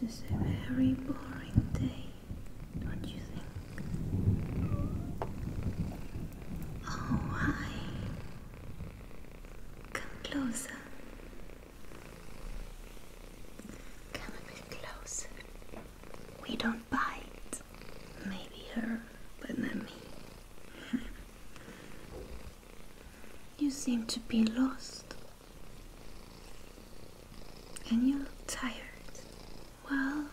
This is a very boring day. What do you think? Oh, hi. Come closer. Come a bit closer. We don't bite. Maybe her, but not me. you seem to be lost. And you look tired. Well,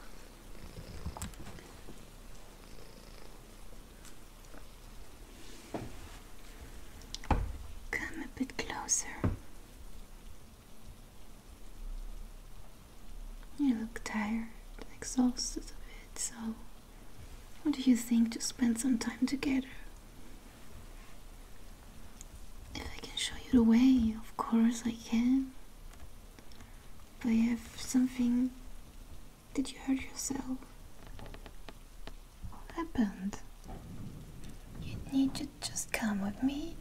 come a bit closer. You look tired and exhausted a bit, so what do you think to spend some time together? If I can show you the way, of course I can. But I have something. Did you hurt yourself? What happened? You need to just come with me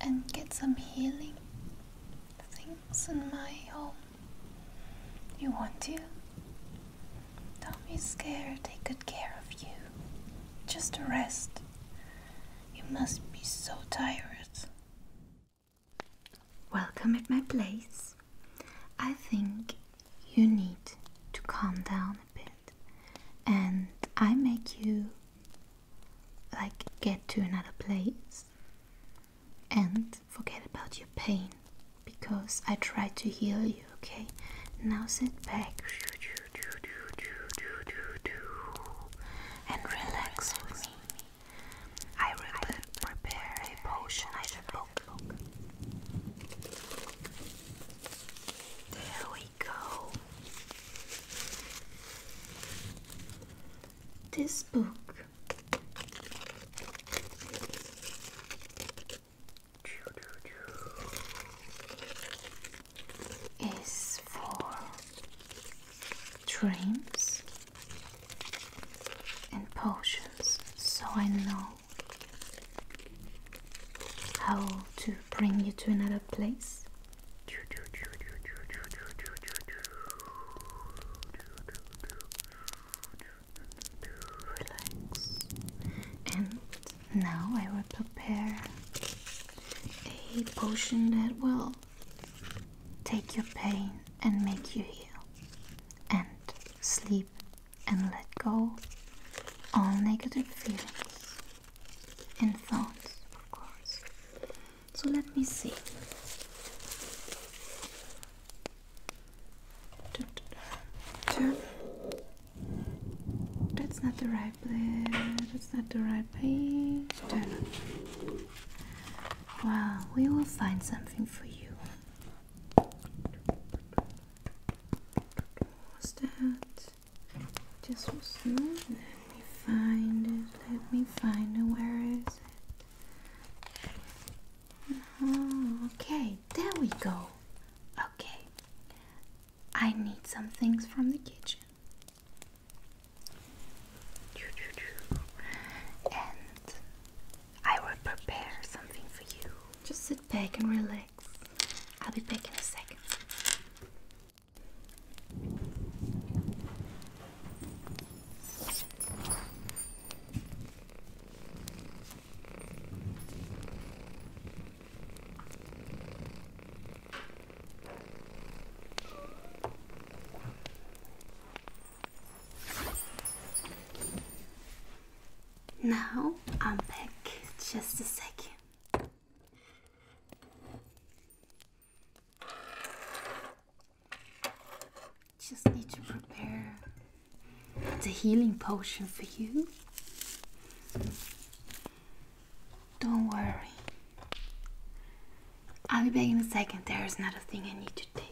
and get some healing things in my home. You want to? Don't be scared, take good care of you. Just rest. You must be so tired. Welcome at my place. I think you need to calm down a bit, and I make you like get to another place and forget about your pain because I try to heal you, okay? Now sit back and relax with me. I will prepare a potion I should book. There we go. This book is for dreams and potions, so I know how to bring you to another place. Relax. And now I will prepare a potion that will take your pain and make you heal and sleep and let go all negative feelings and thoughts of course so let me see That's not the right right there. That's not the right page. Turn we will find something for you. What's that? Just was not. Let me find it. Let me find it. Where is it? Oh, okay. There we go. Okay. I need some things from the kitchen. And I will prepare something for you. Just sit back and relax. I'll be back in a second. Now I'm back. Just a second. Just need to prepare the healing potion for you. Don't worry. I'll be back in a second. There is another thing I need to take.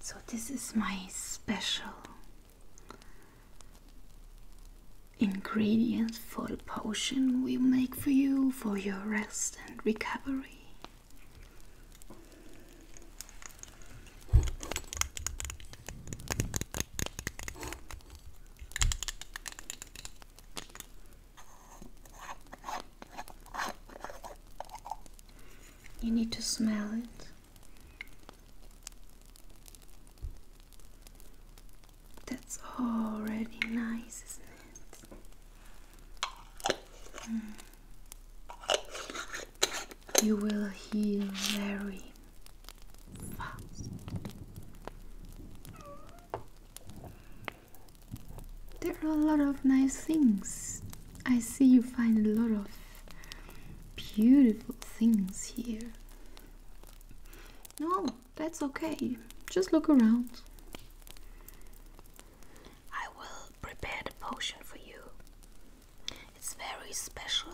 So this is my special Ingredients for the potion we make for you for your rest and recovery. You need to smell it. That's already nice, isn't it? Hmm. You will heal very fast. There are a lot of nice things. I see you find a lot of beautiful things here. No, that's okay. Just look around. I will prepare the potion for you. It's very special.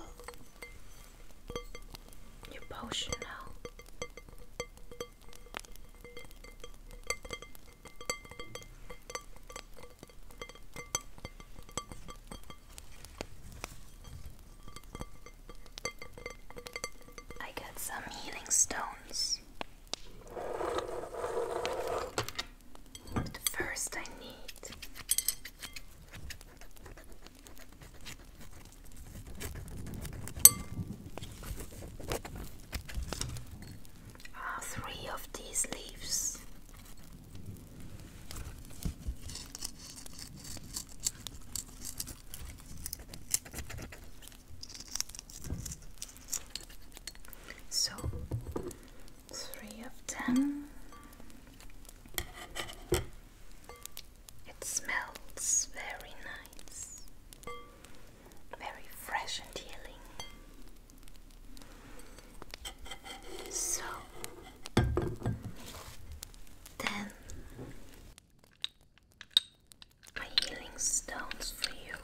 Your potion now. I got some healing stones. But first, I need. Ah, three of these leaves. So three of ten. It smells very nice, very fresh and healing. So then my healing stones for you.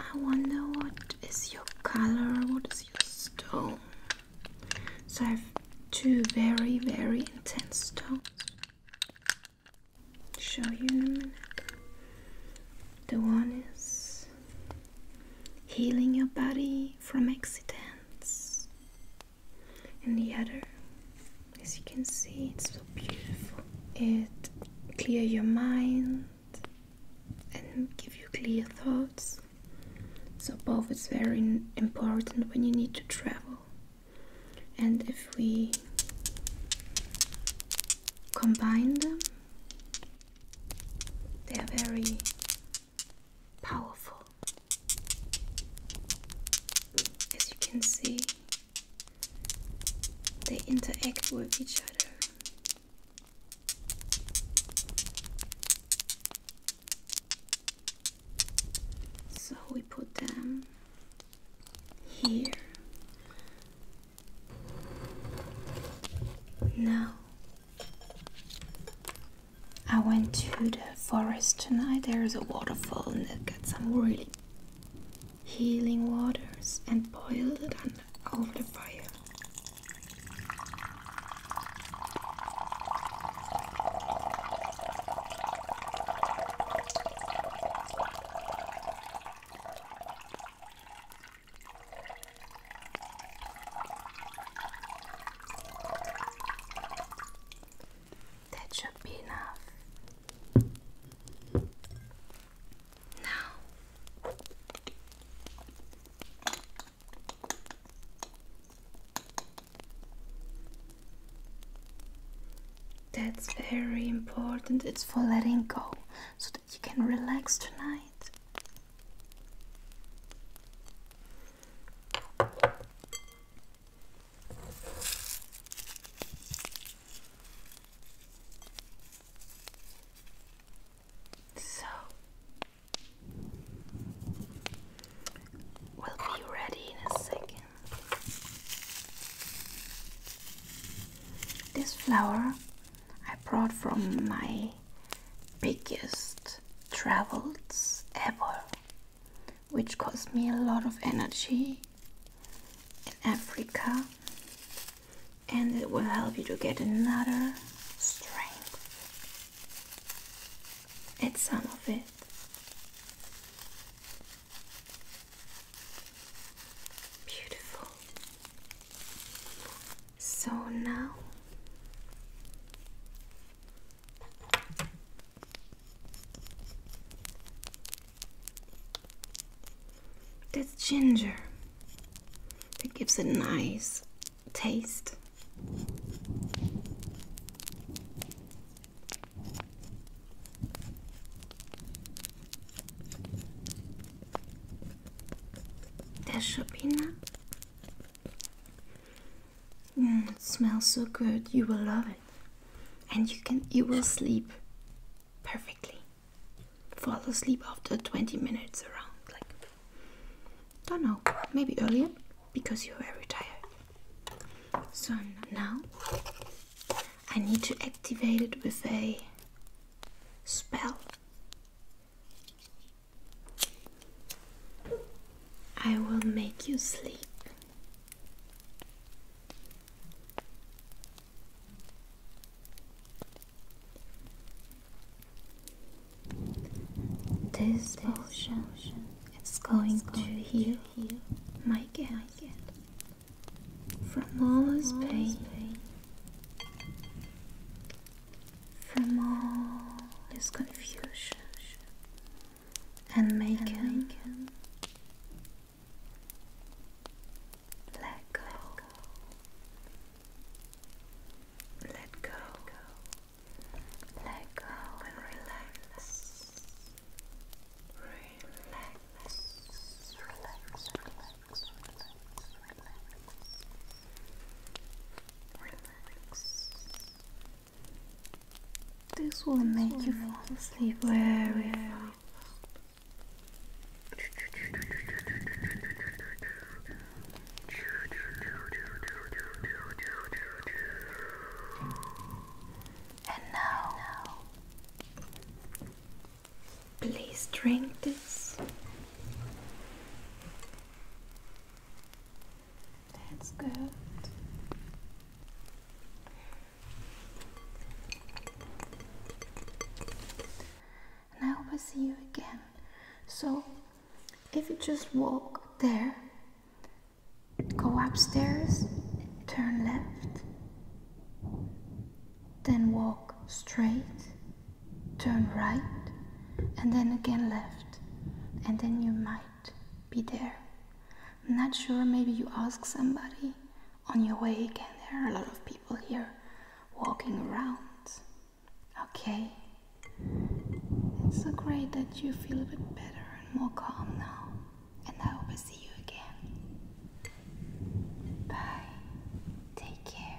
I wonder what is your color, what is your stone? So I have two very, very intense stones. Show you in a minute. The one is healing your body from accidents. And the other, as you can see, it's so beautiful. It clear your mind and give you clear thoughts. So both is very important when you need to travel. And if we combine them, they are very powerful. As you can see, they interact with each other. So we put them here now, I went to the forest tonight. There is a waterfall and it got some really healing waters and boiled it over the fire. That should be enough. Now, that's very important, it's for letting go so that you can relax tonight. So we'll be ready in a second. This flower I brought from my biggest travels ever, which cost me a lot of energy in Africa, and it will help you to get another strength. It's some of it. Beautiful. So now that's ginger. It gives a nice taste. That should be enough. Mm, it smells so good. You will love it, and you can you will sleep perfectly. Fall asleep after twenty minutes around. Like don't know, maybe earlier because you're very tired. So now I need to activate it with a spell. I will make you sleep. This potion is going, going to heal, heal my cat from all his pain from all this confusion and make it let, go. let go. Let go. and Relax. Relax. relax relax, relax. This will make you fall asleep very fast. And now, please drink this. That's good. And I hope I see you again. So, if you just walk there, go upstairs, turn left, then walk straight turn right and then again left, and then you might be there. I'm not sure, maybe you ask somebody on your way again. There are a lot of people here walking around. Okay. It's so great that you feel a bit better and more calm now. And I hope I see you again. Bye. Take care.